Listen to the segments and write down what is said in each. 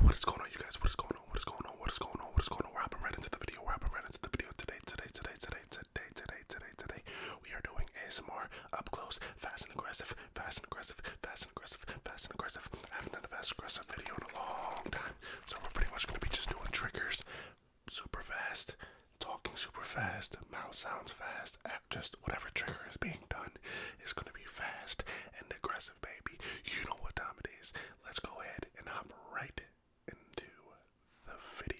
What is going on, you guys? What is going on? What is going on? What is going on? What is going on? We're hopping right into the video. We're hopping right into the video today, today, today, today, today, today, today, today. We are doing ASMR up close, fast and aggressive, fast and aggressive, fast and aggressive, fast and aggressive. I haven't done a fast aggressive video in a long time, so we're pretty much going to be just doing triggers, super fast, talking super fast, mouth sounds fast, just whatever trigger is being done is going to be fast and aggressive baby. You know what time it is. Let's go ahead and hop right into the video.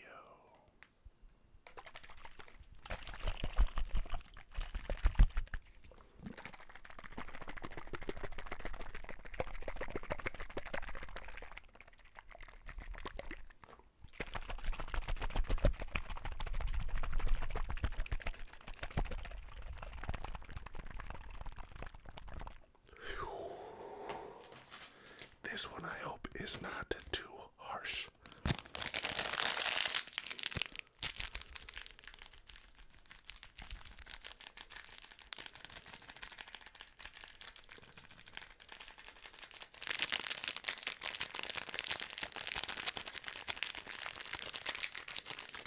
This one I hope is not too harsh.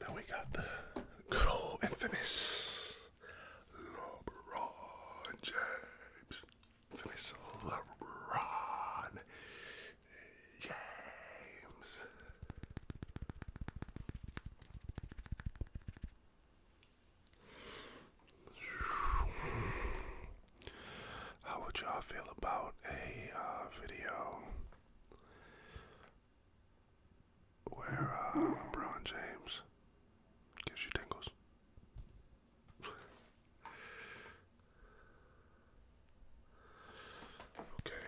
Then we got the infamous LeBron James. Infamous LeBron James. How would y'all feel about a uh, video where uh, LeBron James gives you tingles? okay.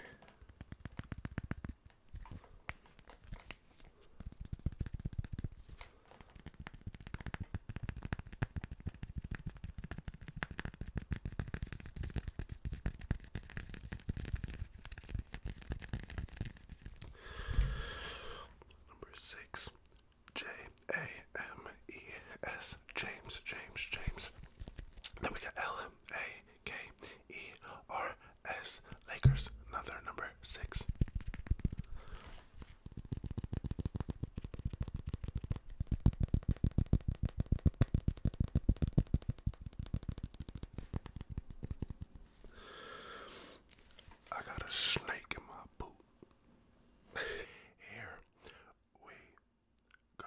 Number six, J A M E S, James, James, James. Then we got L A K E R S, Lakers, another number six. I got a snake in my boot. Here we go.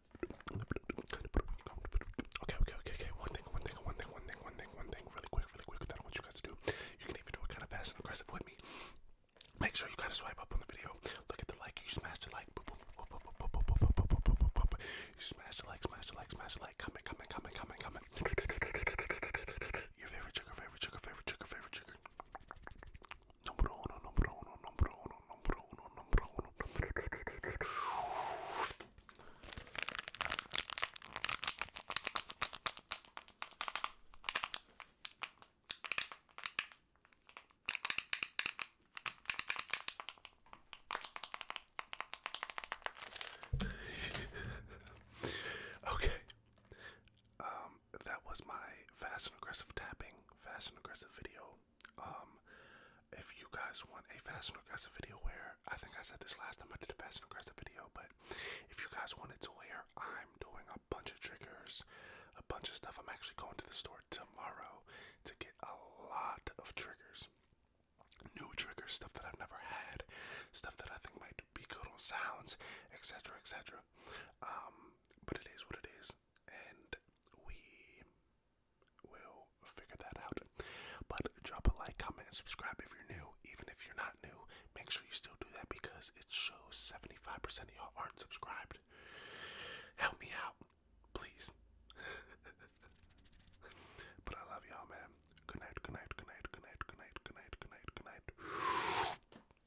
Okay, okay, okay, okay. One thing, one thing, one thing, one thing, one thing, one thing. Really quick, really quick. That I want you guys to do. You can even do it kind of fast and aggressive with me. Make sure you gotta swipe up on the video. Look at the like. You smash the like. You smash the like, smash the like, smash the like. Comment, comment, comment, comment, comment. Your favorite trigger, favorite trigger, favorite trigger, favorite trigger. Number uno, number uno, number uno, number uno, number uno, number okay. Um, that was my fast and aggressive tapping, fast and aggressive video. Um, if you guys want a fast and aggressive video where I think I said this last time I did a fast and aggressive video, but if you guys wanted to where I'm doing a bunch of triggers, a bunch of stuff, I'm actually going to the store tomorrow to get a lot of triggers. New triggers, stuff that I've never had, stuff that I think might be good on sounds, etc. etc. Um, but it is what it is and we will figure that out. But drop a like, comment, and subscribe if you're new. Even if you're not new, make sure you still do that because it shows 75% of y'all aren't subscribed. Help me out, please. but I love y'all, man. Good night, good night, good night, good night, good night, good night, good night, good night.